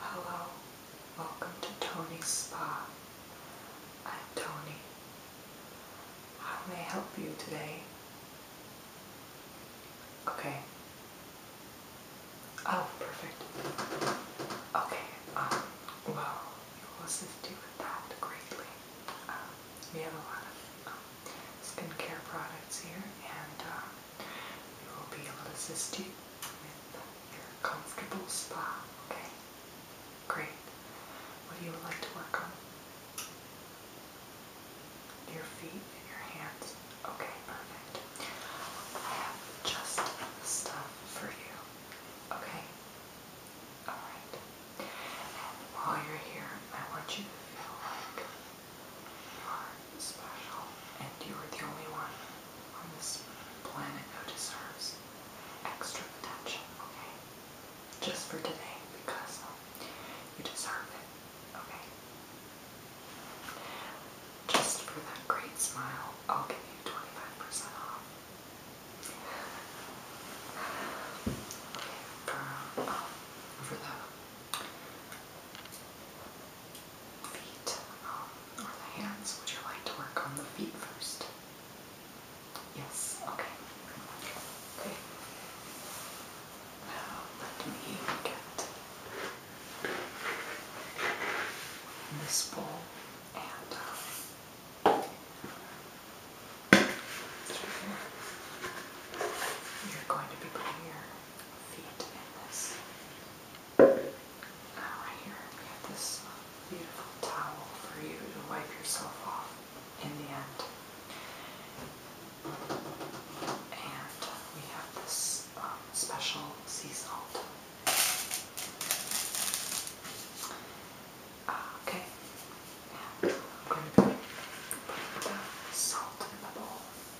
Hello, welcome to Tony's Spa. I'm Tony. How may I help you today? Okay. Oh, perfect. Okay, um, well, we will assist you with that greatly. Um, we have a lot of um, skin care products here, and we will be able to assist you with your comfortable spa, okay? Great. What do you would like to work on? Your feet and your hands. Okay, perfect. I have just the stuff for you. Okay? Alright. while you're here, I want you to feel like you are special, and you are the only one on this planet who deserves extra attention, okay? Just for today, because um, you deserve it, okay? Just for that great smile, I'll give you 25 off. Okay, for, um, for the feet um, or the hands. Would you like to work on the feet first? Yes, okay. Okay. let me get this bowl and um, you're going to be putting your feet in this right here, we have this beautiful towel for you to wipe yourself off in the end. And we have this um, special sea salt. Uh, okay, I'm going to put the salt in the bowl.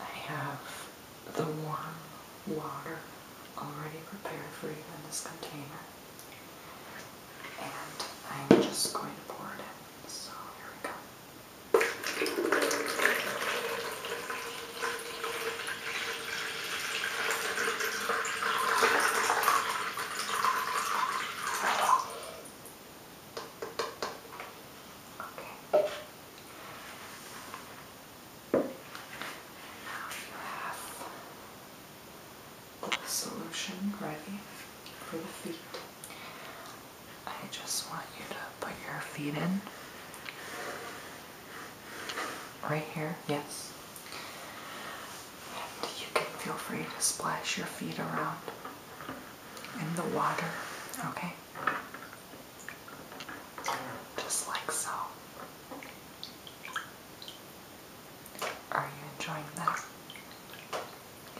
I have the warm water already prepared for you in this container. And I'm just going to pour it in. So here we go. Okay. Now you have the solution ready for the feet. I just want you to put your feet in. Right here, yes. And you can feel free to splash your feet around in the water, okay? Just like so. Are you enjoying that?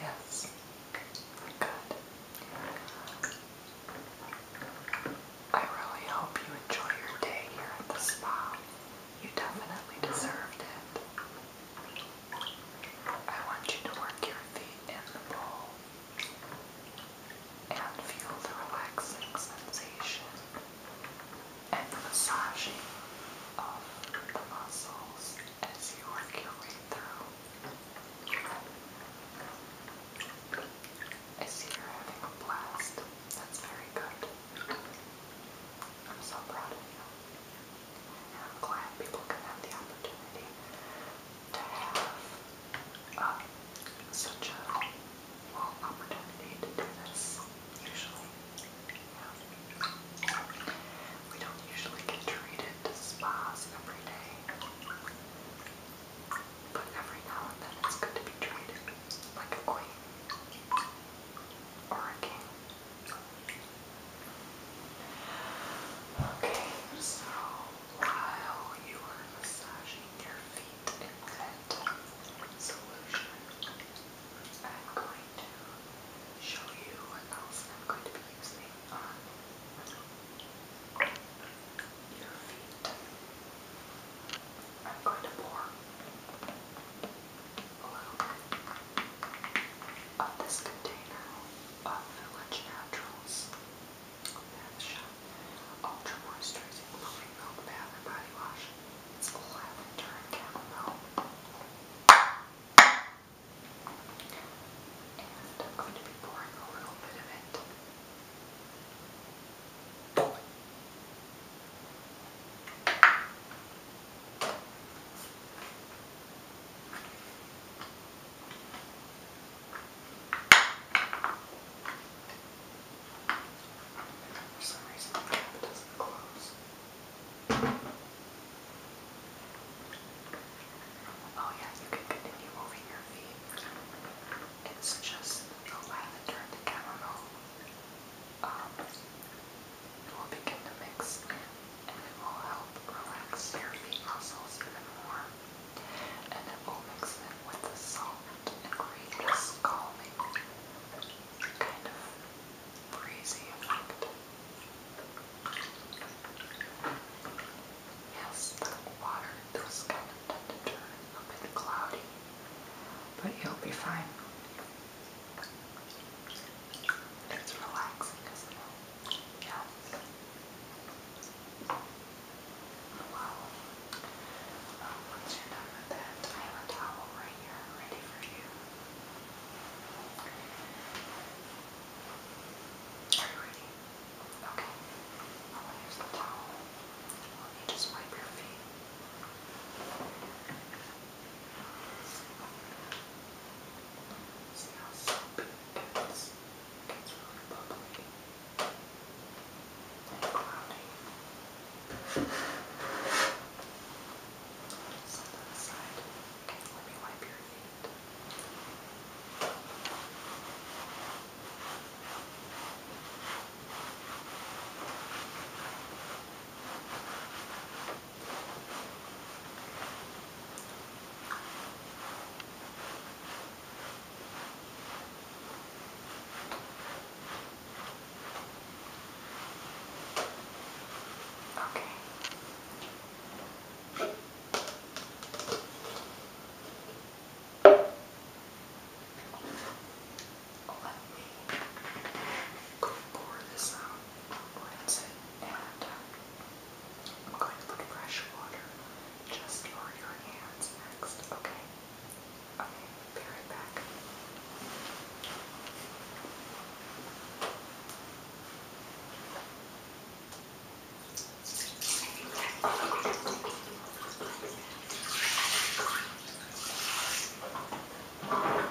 Yes. Good. I really hope you enjoy your day here at the spa. You definitely deserved it. I want you to work your feet in the bowl and feel the relaxing sensation and the massaging of the muscles as you work your way through. I see you're having a blast. That's very good. I'm so proud of you. And I'm glad people can have the opportunity to have um, such a opportunity to do this, usually. We don't usually get treated to spas every day, but every now and then it's good to be treated like a queen or a king. Okay, so while you are massaging your feet in that solution, I'm going to show you what else I'm going to be using on your feet. I'm going to pour a little of this container of Village Naturals Bath Shop Ultra Moisturizing Floating Milk Bath and Body Wash. It's lavender and chamomile. And I'm going to be pouring a little bit of it. Now for some reason, the cap doesn't close. Oh, yeah, you can continue moving your feet. It's just the lavender and the chamomile. Um, it will begin to mix in, and it will help relax your feet muscles even more and it will mix in with the salt and create this calming, kind of breezy effect. Yes, the water does kind of tend to turn bit cloudy, but you'll be fine. It's relaxing, isn't it? Yeah. Oh, wow. Um, once you're done with that, I have a towel right here ready for you. Are you ready? Okay. I'll well, use the towel. Let me just wipe your feet. See how soapy it is. Okay. It's really bubbly and cloudy. Set that aside. Let me wipe your feet. Now Okay. Let me go pour this out, rinse it, and uh, I'm going to put fresh water just on your hands next, okay? Okay, be right back. Okay,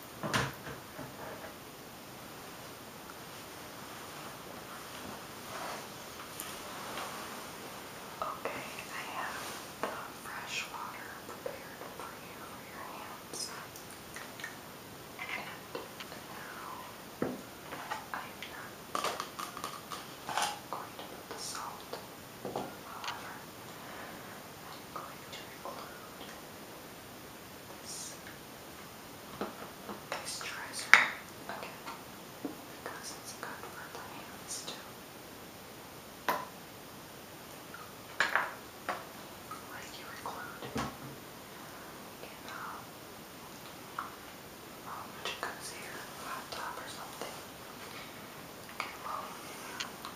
Okay, I have the fresh water prepared for you your hands. And now I'm not going to put the salt. However, I'm going to include this moisturizer again because it's good for the hands too. Like you include in um, um jacuzzi or a hot tub or something. You can load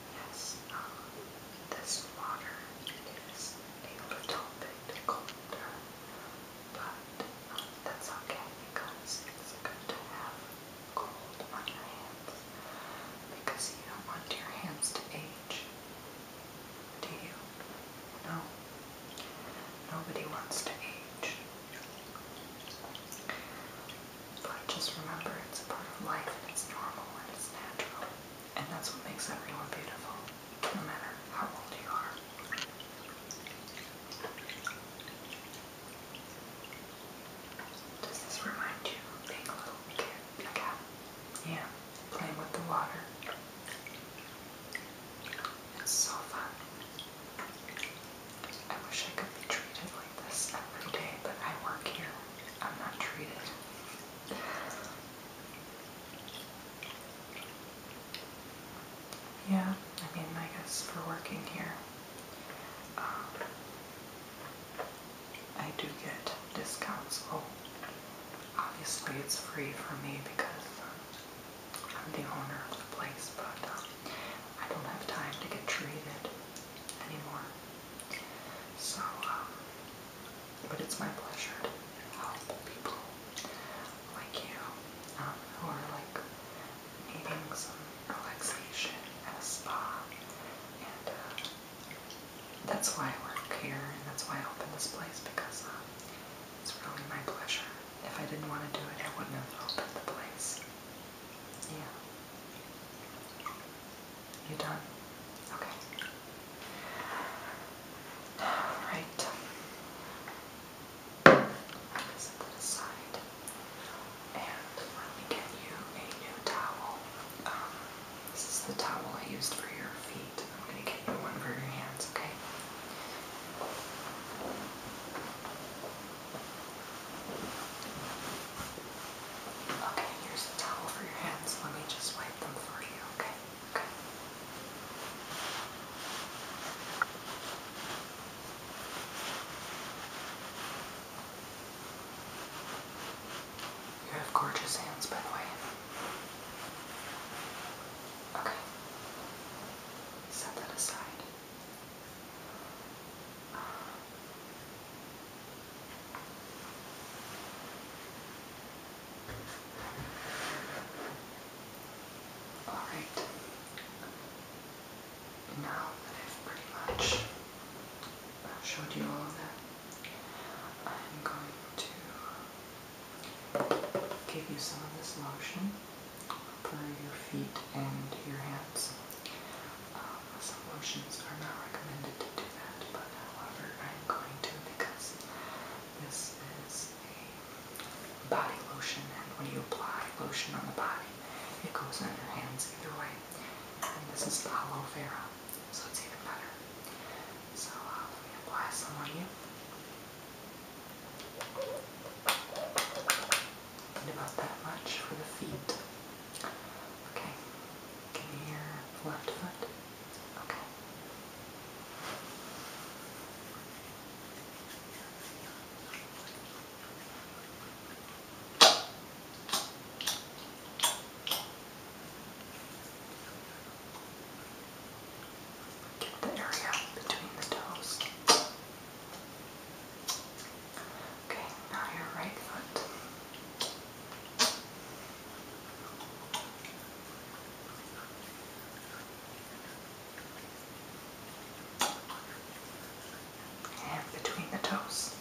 Yes, um, this water is a little bit colder, but um, that's okay because it's good to have cold on your hands because you don't want your hands to age. Do you? No. Nobody wants to age. But just remember, it's a part of life and it's normal and it's natural. And that's what makes everyone beautiful, no matter how old you are. Does this remind you of being a little kid again? Yeah, playing with the water. It's so fun. I wish I could be treated like this every day, but I work here. I'm not treated. Yeah, I mean, I guess for working here, um, I do get discounts. Well, obviously, it's free for me because I'm the owner of the place, but um, I don't have time to get treated anymore. So, um, but it's my pleasure to help people like you um, who are like needing some relaxation at a spa. And uh, that's why I work here and that's why I opened this place because uh, it's really my pleasure. If I didn't want to do it, I wouldn't have opened the place. Yeah. You done? Okay. All right. Set that aside. And let me get you a new towel. Um, this is the towel I used for your feet. I'm going to get you one for your hands, okay? Okay, here's the towel for your hands. Let me just wipe them for you, okay? Okay. You have gorgeous hands, by the way. Okay. Set that aside. Alright, now that I've pretty much showed you all that, I'm going to give you some of this lotion for your feet and your hands. Um, some lotions are not recommended to but however, I'm going to because this is a body lotion, and when you apply lotion on the body, it goes on your hands either way. And this is aloe vera, so it's even better. So I'll apply some on you. about that much for the feet. Okay, can you hear left foot? Okay. Get the area between the toes. Okay, now your right foot. And between the toes.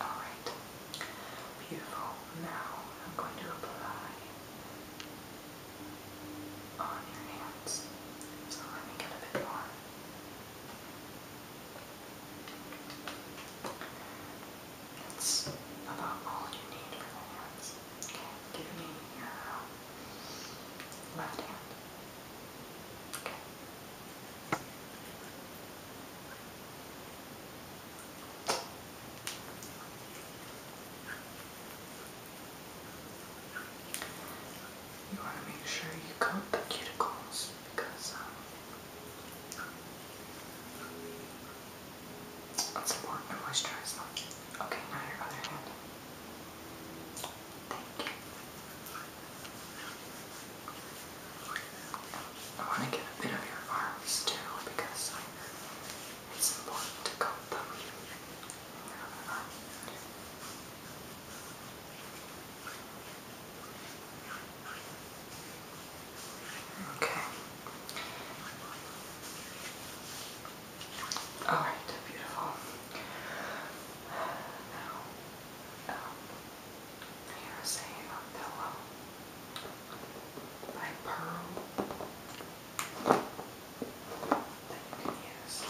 Alright, beautiful. Now I'm going to apply on your hands. So let me get a bit more. That's about all you need for the hands. Okay, give me your um, left hand. Okay. You want to make sure you coat the cuticles because um, it's important to moisturize them. Okay, now your other hand. Thank you. I want to get a bit of your arms too because it's important to coat them. Okay. All right, beautiful. Now, you're um, saying on pillow by Pearl that you can use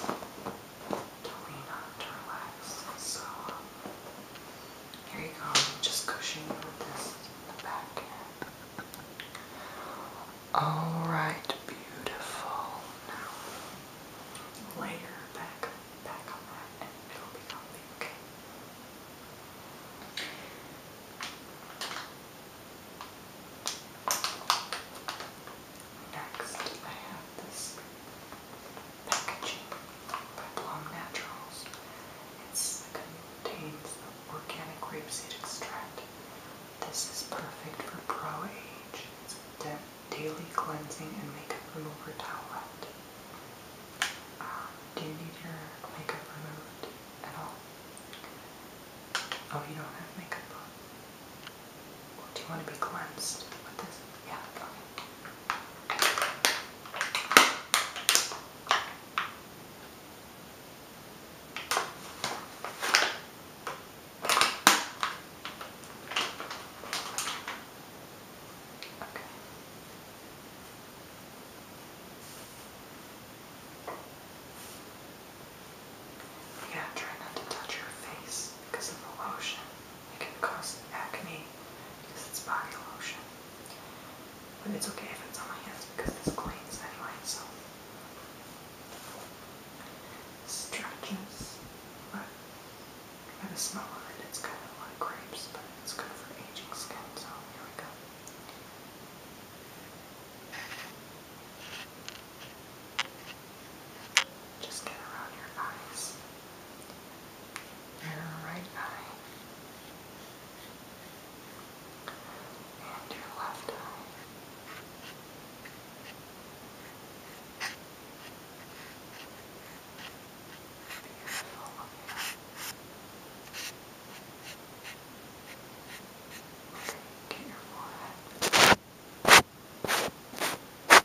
totally not to relax. So um, here you go. I'm just cushioning with this in the back end. Alright, beautiful. Now lay your back back on that and it'll be comfy, okay? Next, I have this packaging by Blom Naturals. It contains organic grapeseed extract. This is perfect for pro age. It's a daily cleansing and makeup remover towelette. Um, do you need your makeup removed at all? Oh, you don't have makeup on. do you want to be cleansed with this? Yeah, okay. Yeah, try not to touch your face because of the lotion. It can cause acne because it's body lotion. But it's okay if it's on my hands because this cleans anyway, so. Stretches, but by a smell on it, it's kind of like grapes, but it's good for aging skin, so here we go. Just get around your eyes your right eye and your left eye. Beautiful. Okay, get your forehead.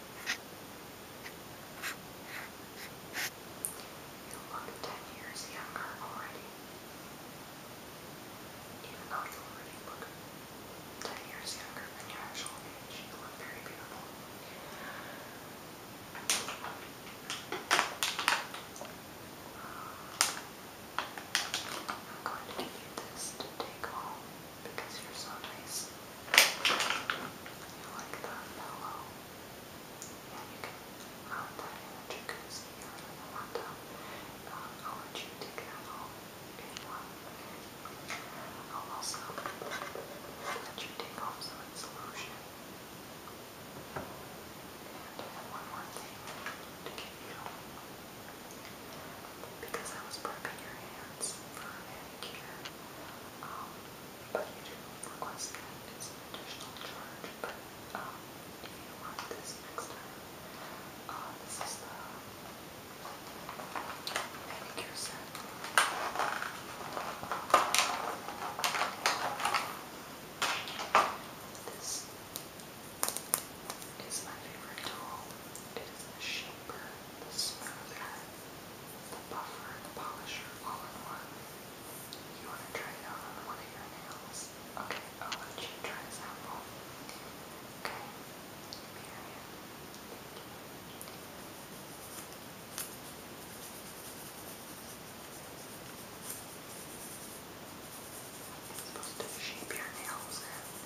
You look ten years younger already. Even though you already look ten years younger than your actual age, you look very beautiful. I'm going to give this to take home because you're so nice. you like that mellow. And you can rub that in the jacuzzi or the hot um, I'll you take it out if I'll also let you take off some solution. And one more thing to give you because I was prepping your hands for a manicure. Um, but you did request that. It's an additional charge. But um, if you want this next time, uh, this is the manicure set. This is my favorite tool. It is the shaper the smoother, the buffer, the polisher, all in one. You want to try it out on one of your nails? Okay, I'll let you try a sample. Okay, period. It's supposed to shape your nails in. Eh?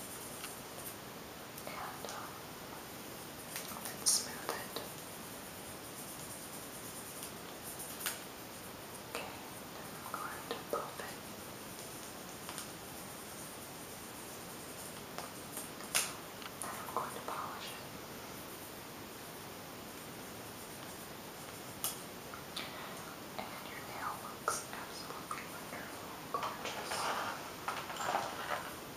and smooth it. Okay, then I'm going to pop it. And I'm going to polish it. And your nail looks absolutely gorgeous.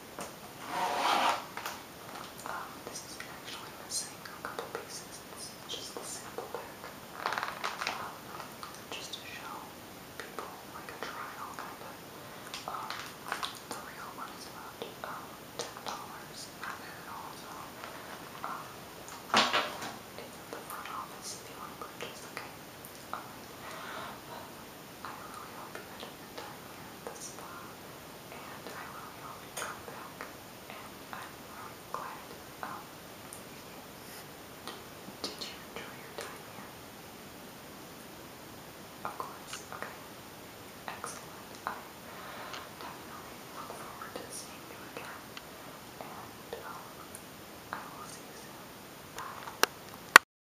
Um, this is actually missing a couple pieces. This is just the sample pack. Um, just to show people like a trial kind of. Um, the real one is about um, ten dollars. Not bad at all. So, um, it's at the front office if you want to purchase. Okay. Um, but I really hope you had a good time here at the spa, and I really hope you come back, and I'm really glad, um, you, did you enjoy your time here? Of course, okay, excellent, I am definitely looking forward to seeing you again, and, um, I will see you soon, bye.